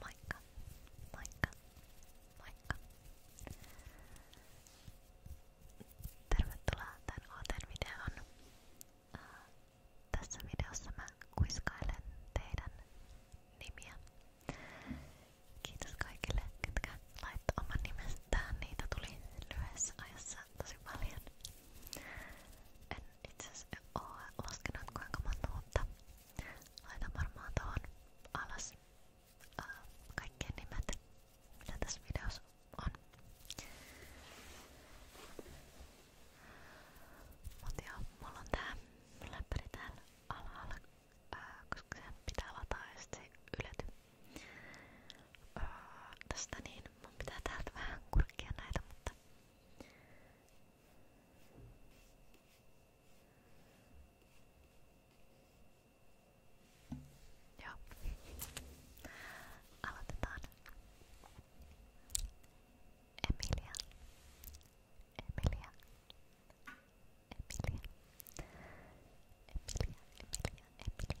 Moikka, moikka, moikka. Tervetuloa tämän uuteen videoon. Äh, tässä videossa mä kuiskailen teidän nimiä. Kiitos kaikille, ketkä laittoi oman nimestään. Niitä tuli lyhyessä ajassa tosi paljon. En itse asiassa ole laskenut kuinka monta, mutta laitan varmaan tuohon alas äh, kaikkien nimet, mitä tässä videossa on. Mutta joo, mulla on tää läppäri täällä alhaalla, ää, koska sen pitää lataa ja sit se ylety. Öö, tästä niin, mun pitää täältä vähän kurkkia näitä, mutta Joo. Aloitetaan. Emilia. Emilia. Emilia. Emilia, Emilia, Emilia, Emilia.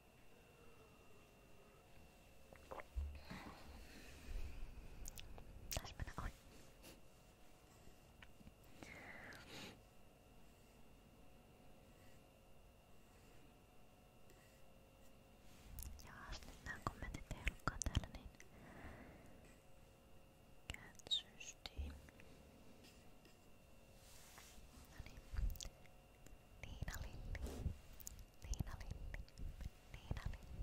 Taisi mennä ohi. Jaas, nyt nämä kommentit ei ollutkaan täällä niin... Cat Steam. Noniin. Niina Linni. Niina Linni. Niina Linni. Niina Linni.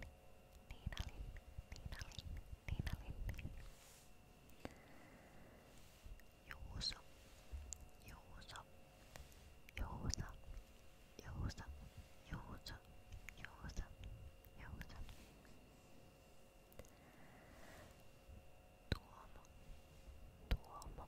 Niina Linni. Niina Linni. Juuso. Juuso. Juuso. Juuso. Juuso. Juuso. Juuso. Tuomo, Tuomo,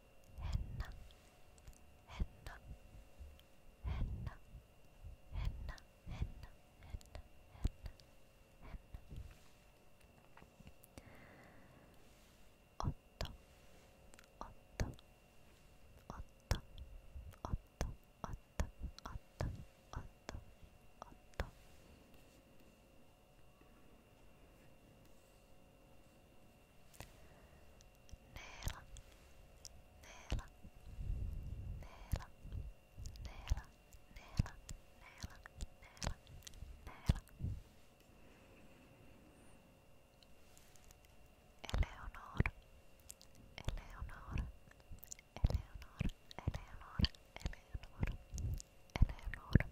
Henna, henna, henna, henna, henna, henna, henna, henna. Otto, otto, otto, otto, otto, otto, otto, otto. Neela, Neela, Neela, Neela, Neela, Neela, Neela, Neela. Eleonor, Eleonor, Eleonor, Eleonor, Eleonor, Eleonor.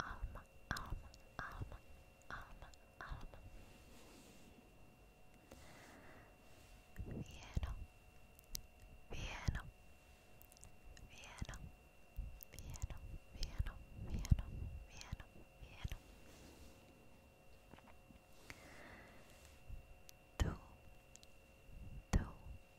Alma, alma, alma, alma, alma. Hieno, hieno, hieno, hieno, hieno, hieno, hieno, hieno. Tu, tu,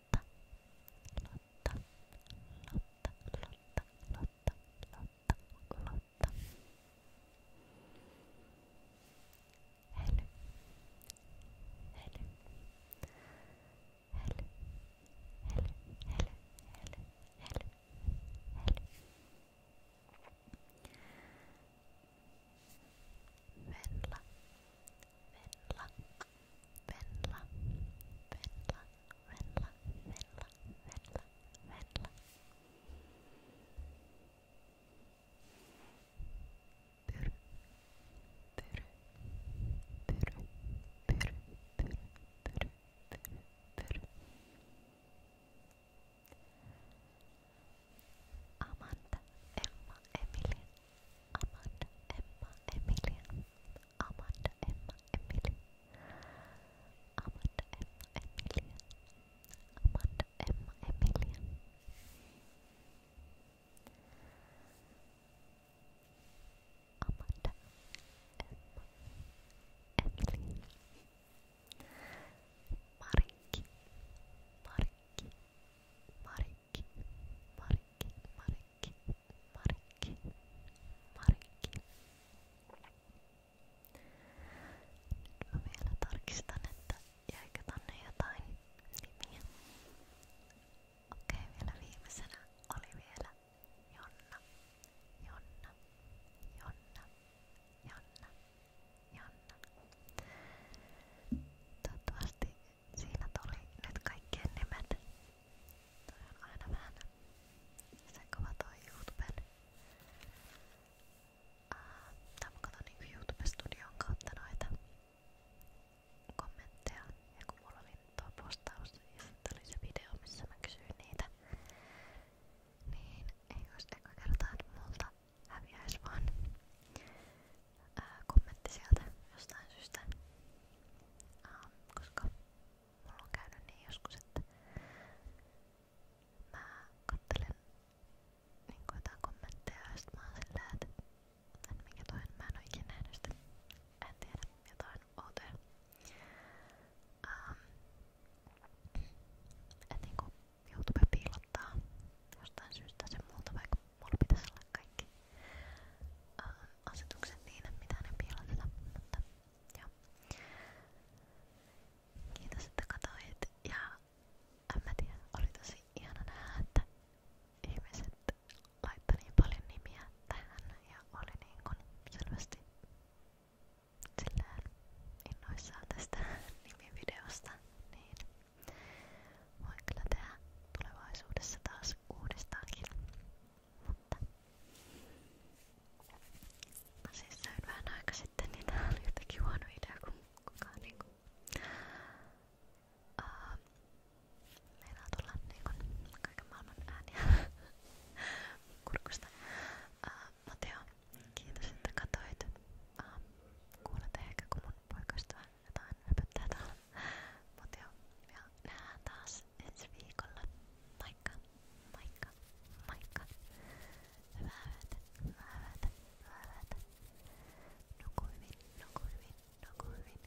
Lotta, Lotta, Lotta, Lotta, Lotta, Lotta, Lotta. Helly, Helly, Helly, Helly, Helly, Helly, Helly, Helly. Venla, Venla, Venla, Venla, Venla, Venla, Venla, Venla. Pyry, pyry, pyry, pyry, pyry, pyry, pyry, pyry. Amanda, Emma, Emilia, Amanda Emma Emilia Amanda Emma Emilia Amanda Emma Emilia Amanda Emma Emilia Amanda Emma Emilia Mariki Mariki Mariki Marikki, Marikki, Marikki, Marikki, Marikki. Nyt mä vielä tarkistan, että jäikö tonne jotain nimiä. Okei, vielä viimeisenä oli vielä Jonna, Jonna, Jonna, Jonna, Jonna. Toivottavasti Siinä tuli nyt kaikkien nimet. Toi on aina vähän sen kova toi YouTuben. Uh, tai mä katon niinku YouTube Studion kautta noita kommentteja. Ja kun mulla oli tuo postaus ja sitten oli se video, missä mä kysyin niitä, niin ei olisi eka kertaa, että multa häviäisi vaan ää, kommentti sieltä jostain syystä. Ähm, koska mulla on käynyt niin joskus, että mä kattelen niin jotain kommentteja ja sit mä oon silleen, että en mikä toi, mä en oo ikinä nähnyt sitä. En tiedä, jotain outoja. Ähm, et niinku YouTube piilottaa jostain syystä sen multa, vaikka mulla pitäisi olla kaikki uh, asetukset siinä, mitä ne piiloteta, mutta joo. Kiitos, että katsoit ja en mä tiedä, oli tosi ihana nähdä, että ihmiset laittoi niin paljon nimiä tähän ja oli niin kuin selvästi silleen innoissaan tästä nimivideosta, niin Voin kyllä tehdä tulevaisuudessa taas uudestaankin. Mutta mä siis söin vähän aika sitten, niin tää oli jotenkin huono idea, kun kukaan niinku uh, meinaa tulla niinku kaiken maailman ääniä kurkusta. Uh, Mut joo, kiitos että katoit. Uh, kuulet ehkä kun mun poikasta jotain höpöttää täällä. Mut joo, ja nähdään taas ensi viikolla. Moikka, moikka, moikka. Hyvää yötä, hyvää yötä, hyvää yötä. Nuku hyvin, nuku hyvin, nuku hyvin.